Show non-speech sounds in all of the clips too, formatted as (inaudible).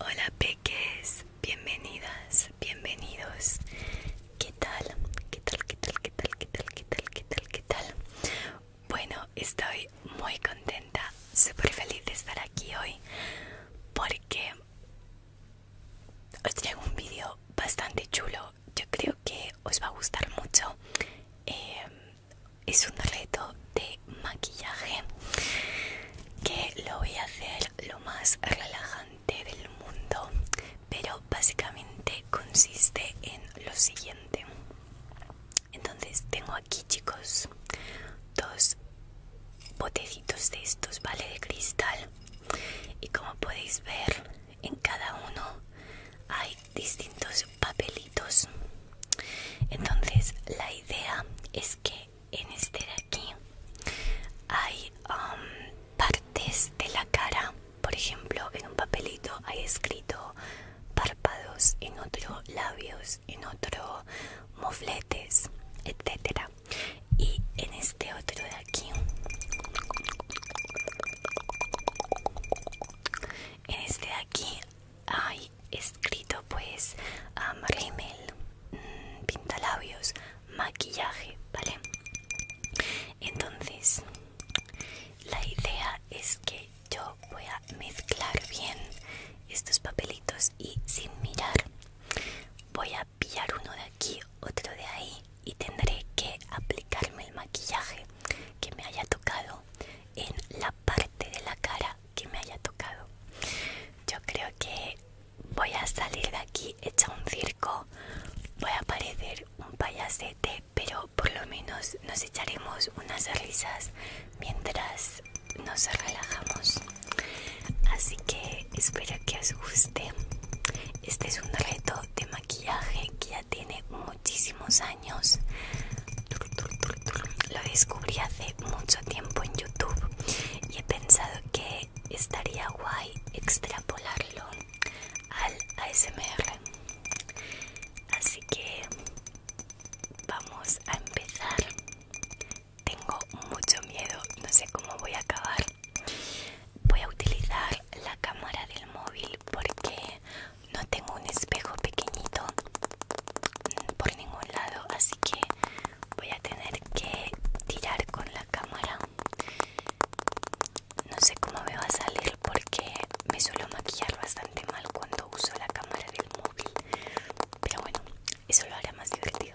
Hola peques, bienvenidas, bienvenidos. ¿Qué tal? ¿Qué tal? ¿Qué tal? ¿Qué tal? ¿Qué tal? ¿Qué tal? Bueno, estoy muy contenta, súper feliz de estar aquí hoy porque os traigo un vídeo bastante chulo. Yo creo que os va a gustar mucho. Em, es un reto de maquillaje que lo voy a hacer lo más relajante del mundo pero básicamente consiste en lo siguiente entonces tengo aquí chicos dos botecitos de estos vale de cristal y como podéis ver en cada uno hay distintos papelitos entonces la idea es que en este de aquí hay um, partes de la cara por ejemplo en un papelito hay escrito párpados en otro labios en otro mofletes etcétera y en este otro de aquí en este de aquí hay escrito pues um, remel, mm, pintalabios maquillaje vale entonces la idea es que yo voy a mezclar bien estos papelitos y sin mirar voy a pillar uno de aquí otro de ahí y tendré que aplicarme el maquillaje que me haya tocado en la parte de la cara que me haya tocado. Yo creo que voy a salir de aquí hecha un circo, voy a parecer un payasete, pero por lo menos nos echaremos unas risas mientras nos relajamos. Así que espero que os guste. Este es un reto de maquillaje que ya tiene muchísimos años. Lo descubrí hace mucho tiempo en YouTube y he pensado que estaría guay extrapolarlo al ASMR. Así que vamos a empezar. Tengo mucho miedo, no sé cómo voy a acabar. Voy a utilizar la cámara del móvil porque no tengo un espejo pequeñito mm, por ningún lado, así que voy a tener que tirar con la cámara. No sé cómo me va a salir porque me suelo maquillar bastante mal cuando uso la cámara del móvil, pero bueno, eso lo hará más divertido.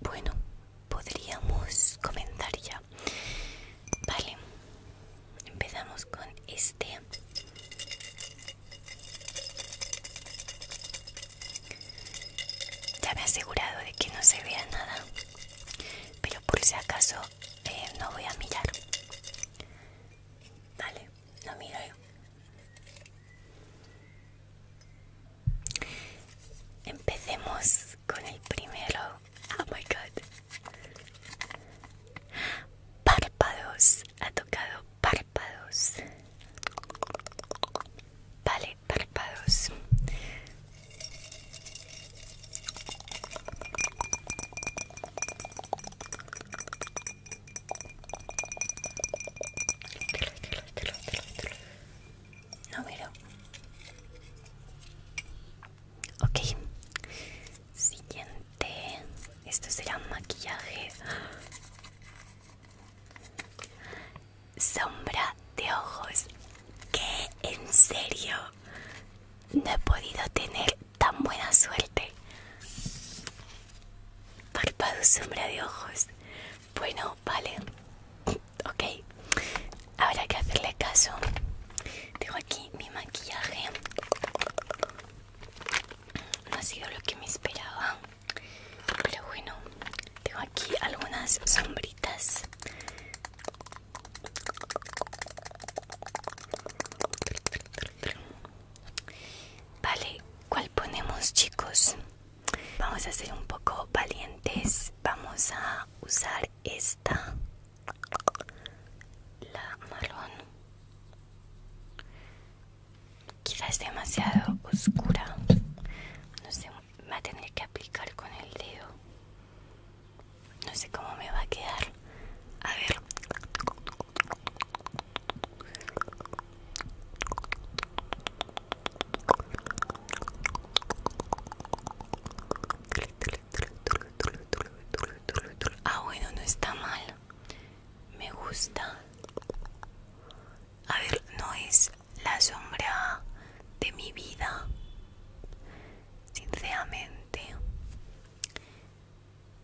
bueno, podríamos comenzar ya. Vale, empezamos con este. Ya me he asegurado de que no se vea nada, pero por si acaso eh, no voy a mirar. Vale, no miro Empecemos con el primero. Oh my god. Párpados. Ha tocado párpados. Vale, párpados. No Okay. Ok Siguiente Esto será maquillaje Sombra de ojos ¿Qué? ¿En serio? No he podido tener tan buena suerte Párpado sombra de ojos bueno, vale. Ok. Habrá que hacerle caso. Tengo aquí mi maquillaje. No ha sido lo que me esperaba. Pero bueno, tengo aquí algunas sombritas. Vale, ¿cuál ponemos chicos? Vamos a ser un poco valientes. Vamos a usar esta, la marrón. Quizás demasiado oscura. No sé, me va a tener que aplicar con el dedo. No sé cómo me va a quedar. A ver. Ah, bueno, no está mal. Me gusta. A ver, no es la sombra de mi vida. Sinceramente.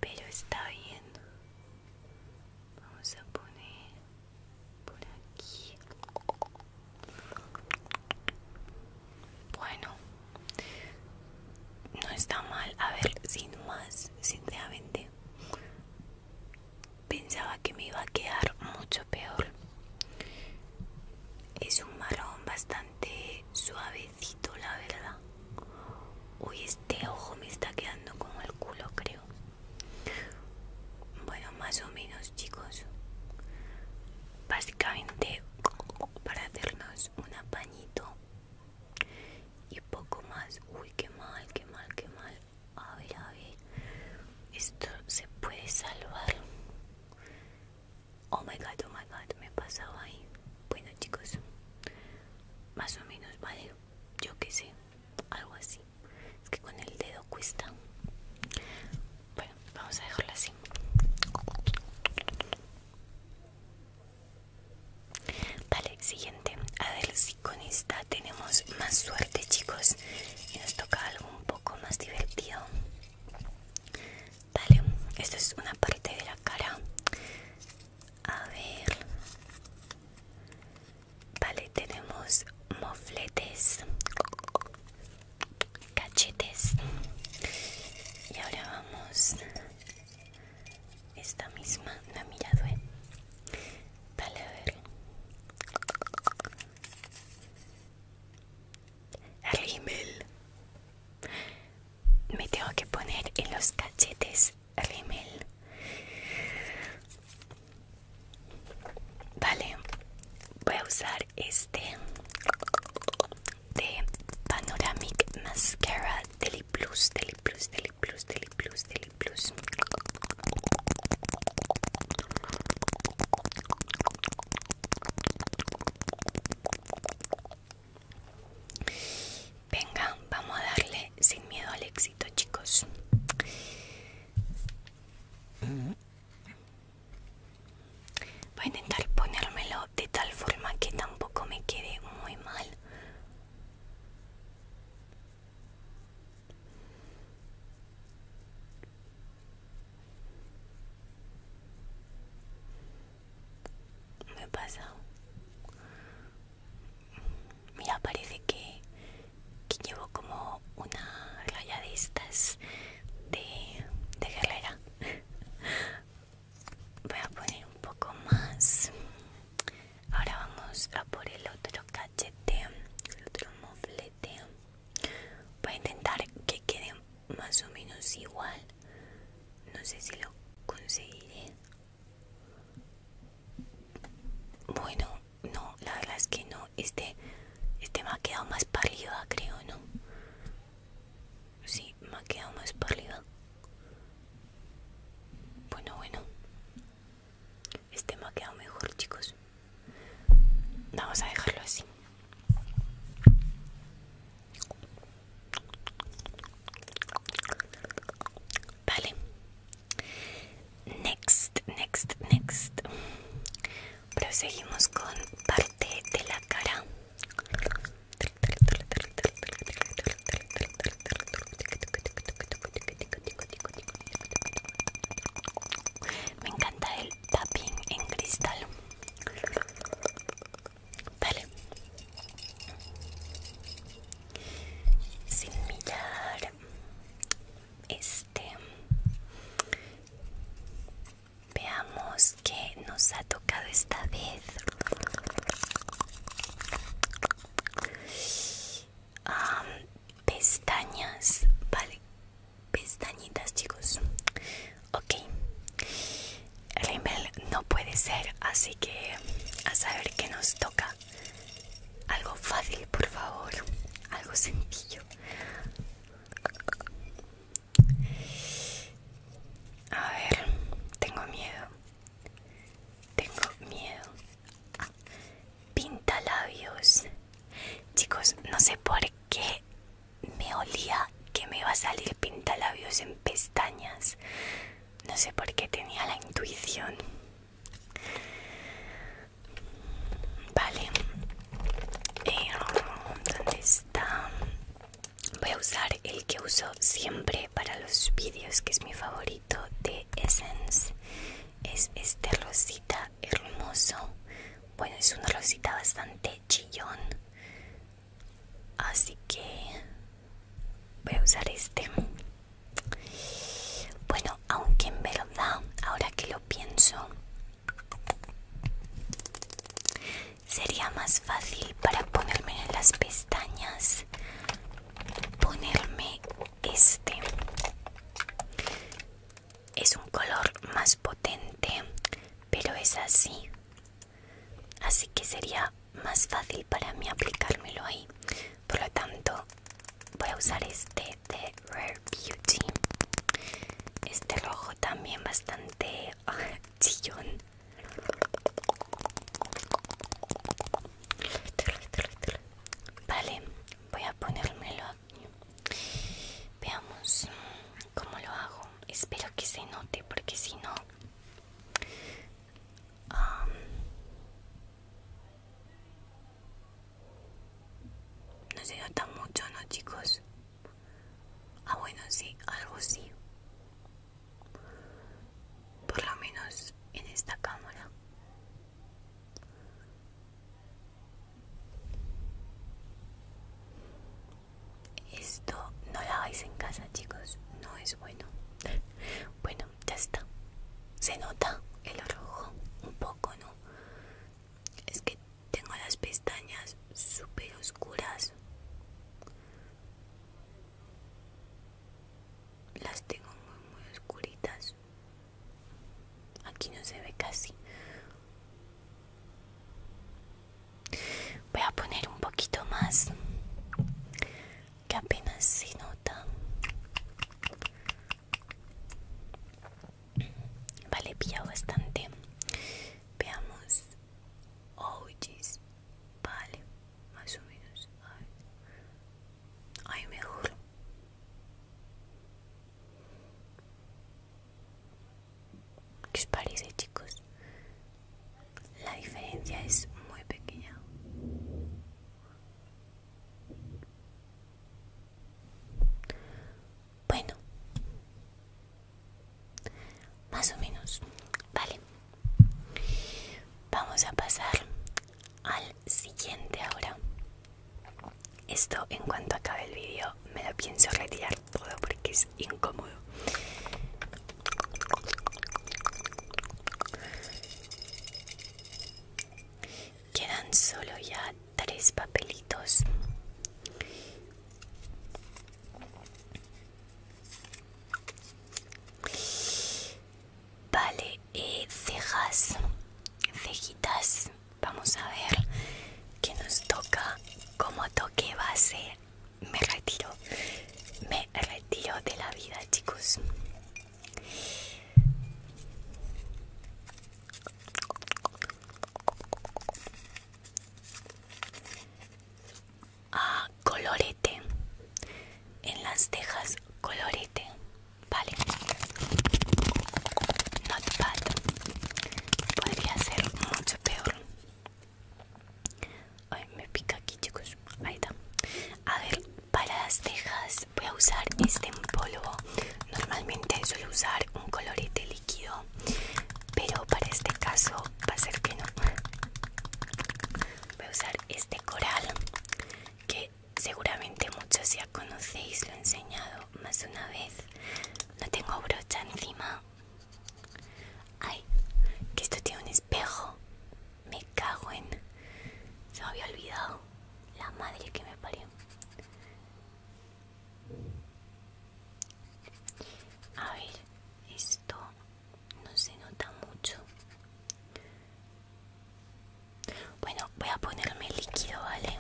Pero está bien. Vamos a poner por aquí bueno no está mal a ver sin más sinceramente pensaba que me iba a quedar mucho peor es un marrón bastante suavecito la verdad uy este ojo me está quedando como el culo creo bueno, más o menos, chicos. Básicamente para hacernos un apañito y poco más. Uy, qué mal, qué mal, qué mal. A ver, a ver. Esto se puede salvar. Oh my god, oh my god, me pasado ahí. Bueno, chicos, más o menos, vale. Yo qué sé, algo así. Es que con el dedo cuesta. Bueno, vamos a dejarla así. Vale, siguiente. A ver si con esta tenemos más suerte, chicos. Y nos toca algo un poco más divertido. Vale, esto es una parte de la cara. A ver. Vale, tenemos mofletes, cachetes. Y ahora vamos esta misma, la mirado, vale ¿eh? a ver. Me tengo que poner en los cachetes email vale voy a usar este de panoramic mascara deli plus deli plus deli plus deli plus deli plus Venga, vamos a darle sin miedo al éxito, chicos. Voy a intentar ponérmelo de tal forma que tampoco me quede muy mal. Me pasado. Mira, parece que, llevo como una raya de estas de, de guerrera. (laughs) Voy a poner un poco más. Ahora vamos a por el otro cachete, el otro moflete. Voy a intentar que quede más o menos igual. No sé si lo conseguiré. Bueno, no, la verdad es que no. Este, este me ha quedado más pálida, creo, ¿no? Sí, me ha quedado más pálida. Bueno, bueno. Este me ha quedado mejor, chicos. Vamos a dejarlo así. Vale, Next, next, next. Proseguimos con parte de la cara. Me encanta el tapping en cristal. Vale, sin mirar este veamos que nos ha tocado esta vez pestañas vale pestañitas chicos ok Rimmel no puede ser así que a saber qué nos toca algo fácil, por favor. Algo sencillo. A ver, tengo miedo. Tengo miedo. Pinta labios. Chicos, no sé por qué me olía que me iba a salir pintalabios en pestañas. No sé por qué tenía la intuición. Vale. Eh, ¿Dónde está? Voy a usar el que uso siempre para los vídeos, que es mi favorito de Essence. Es este rosita hermoso. Bueno, es una rosita bastante chillón. Así que voy a usar este bueno aunque en verdad ahora que lo pienso sería más fácil para ponerme en las pestañas ponerme este es un color más potente pero es así así que sería más fácil para mí aplicármelo ahí. Por lo tanto, voy a usar este de Rare Beauty. Este rojo también bastante ah, chillón. Vale, voy a ponérmelo aquí. Veamos cómo lo hago. Espero que se note porque si no Um, no se nota mucho, ¿no, chicos? Ah, bueno, sí, algo sí. Por lo menos en esta cámara. Esto no lo hagáis en casa, chicos. No es bueno. (laughs) Bueno ya está. Se nota el rojo un poco, ¿no? Es que tengo las pestañas súper oscuras. Las tengo muy, muy oscuritas. Aquí no se ve casi. Voy a poner un poquito más que apenas se nota vale pilla bastante veamos oh vale más o menos ay, ay mejor ¿Qué os parece chicos? La diferencia es muy pequeña. Bueno, más o menos, vale. Vamos a pasar al siguiente ahora. Esto en cuanto acabe el vídeo me lo pienso retirar todo porque es incómodo. Quedan solo ya tres papelitos. Vale, eh, cejas, cejitas. Vamos a ver qué nos toca como toque base me retiro, me retiro de la vida, chicos. Ah, colorete en las tejas, colorete, vale. Notepad podría ser mucho peor. Ay, me pica aquí, chicos. Ahí está. A ver, para las cejas voy a usar este en polvo. Normalmente suelo usar un colorete líquido, pero para este caso va a ser que no. Voy a usar este coral que seguramente muchos ya conocéis, lo he enseñado más de una vez. No tengo brocha encima. Ay, que esto tiene un espejo. Me cago en. Se había olvidado. La madre que me parió. A ver, esto no se nota mucho. Bueno, voy a ponerme líquido, ¿vale?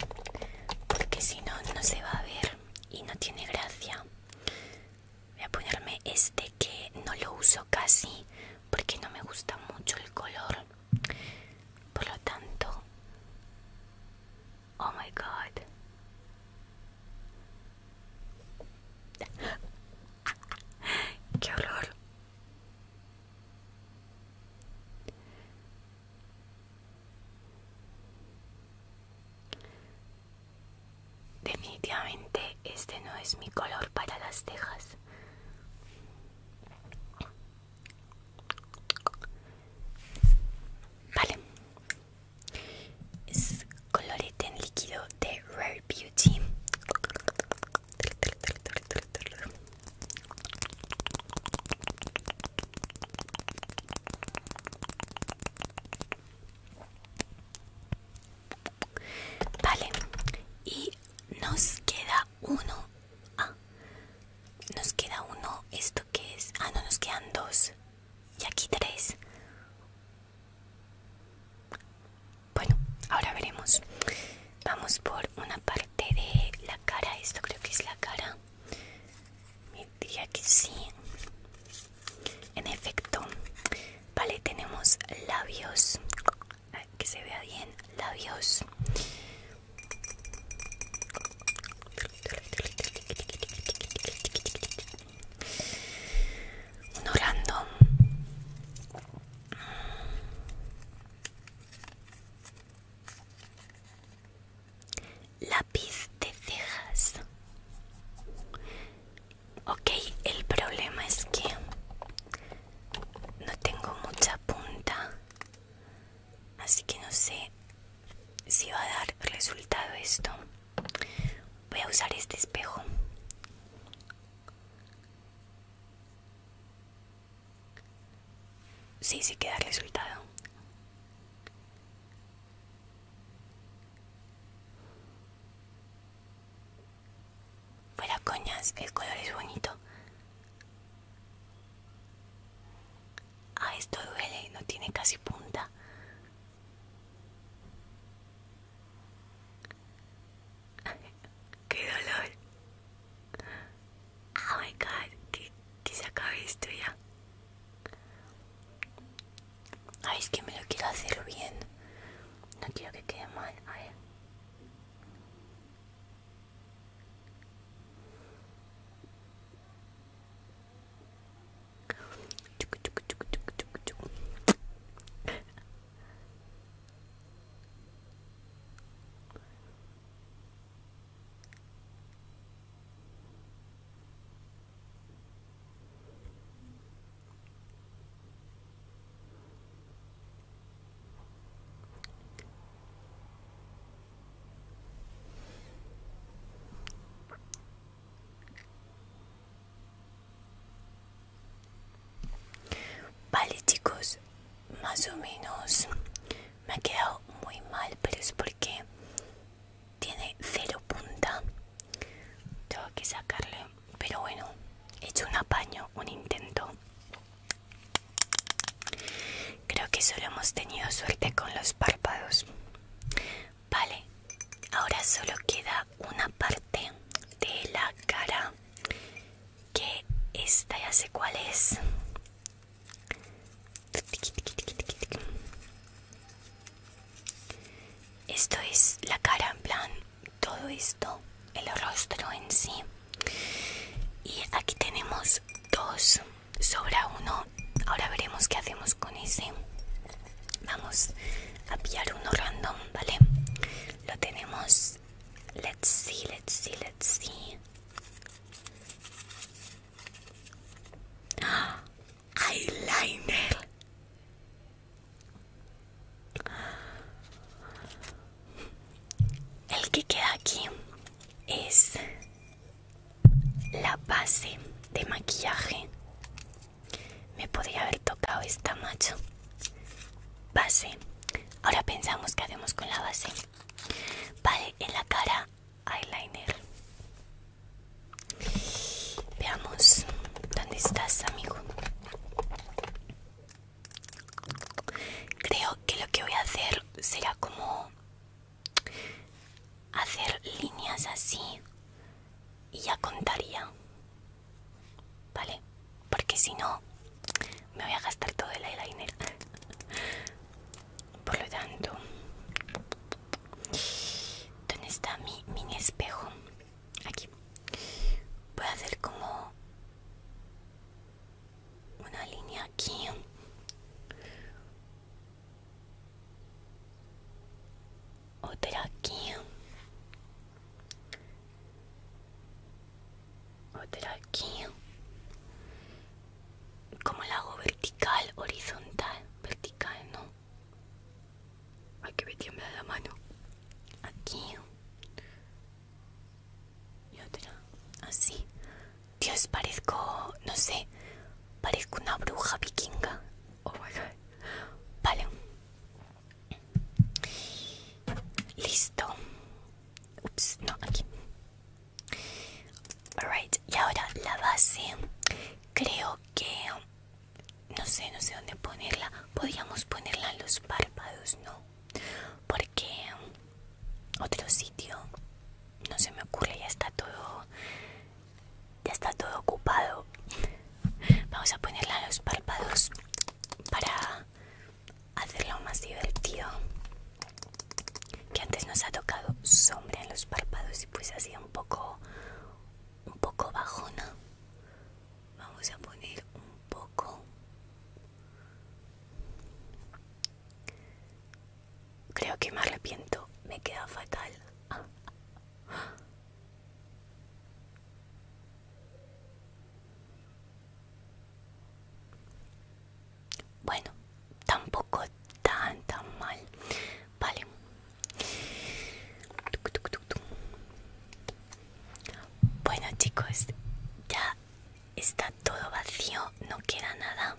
Porque si no, no se va a ver y no tiene gracia. Voy a ponerme este que no lo uso casi porque no me gusta mucho el color. Por lo tanto... Oh my god. (laughs) ¡Qué horror! Definitivamente este no es mi color para las cejas. Vale. Es colorete en líquido de Rare Beauty. Vale, y nos queda uno. Ah, nos queda uno. ¿Esto que es? Ah, no, nos quedan dos. Y aquí tres. Bueno, ahora veremos. Vamos por una parte de la cara. Esto creo que es la cara. Me diría que sí. En efecto, vale, tenemos labios, que se vea bien, labios. Un random. Lápiz de cejas. Ok, el problema es que no tengo mucha punta, así que no sé si va a dar resultado esto. Voy a usar este espejo. Sí, sí que da resultado. Fuera coñas, el color es bonito. Ah, esto duele, no tiene casi punta. (laughs) ¡Qué dolor! Oh my god, que se acabe esto ya. Ay, es que me lo quiero hacer bien. No quiero que quede mal. Vale más o menos me ha quedado muy mal, pero es porque tiene cero punta tengo que sacarle pero bueno he hecho un apaño un intento creo que solo hemos tenido suerte con los párpados vale ahora solo queda una parte de la cara que esta ya sé cuál es esto es la cara en plan, todo esto, el rostro en sí. Y aquí tenemos dos, sobra uno. Ahora veremos qué hacemos con ese. Vamos a pillar uno random, ¿vale? Lo tenemos. Let's see, let's see, let's see. ¡Ah! eyeliner. El que queda aquí es la base de maquillaje. Me podría haber tocado esta macho. Base. Ahora pensamos que hacemos con la base. Vale, en la cara eyeliner. Veamos, ¿dónde estás, amigo? Creo que lo que voy a hacer será como hacer líneas así y ya contaría, ¿vale? Porque si no, me voy a gastar todo el eyeliner. Por lo tanto, ¿Dónde está mi mini espejo? Aquí. Voy a hacer como una línea aquí. Otra aquí. Otra aquí. Como la hago vertical, horizontal, vertical, no hay que me tiembla la mano. Aquí. Y otra. Así. Dios, parezco, no sé, parezco una bruja vikinga. Oh my god. Vale. Listo. Ups, no, aquí. Alright, y ahora la base. Creo que no sé, no sé dónde ponerla. Podríamos ponerla en los párpados, ¿no? Porque otro sitio no se me ocurre, ya está todo ya está todo ocupado. Vamos a ponerla en los párpados para hacerlo más divertido. Que antes nos ha tocado sombra en los párpados y pues hacía un poco un poco bajona vamos a poner un poco creo que me arrepiento me queda fatal bueno tampoco tan tan mal Vale. Bueno chicos, ya está todo vacío, no queda nada.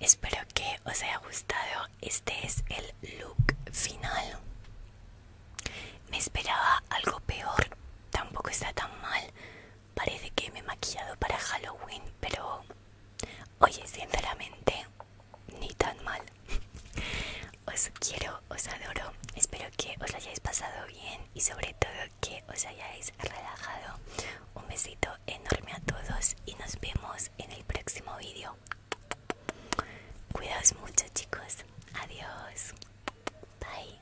Espero que os haya gustado. Este es el look final. Me esperaba algo peor. Tampoco está tan mal. Parece que me he maquillado para Halloween, pero oye, sinceramente, ni tan mal. (laughs) Os quiero, os adoro. Espero que os hayáis pasado bien y sobre todo que os hayáis relajado. Un besito enorme a todos y nos vemos en el próximo vídeo. Cuidaos mucho chicos. Adiós. Bye.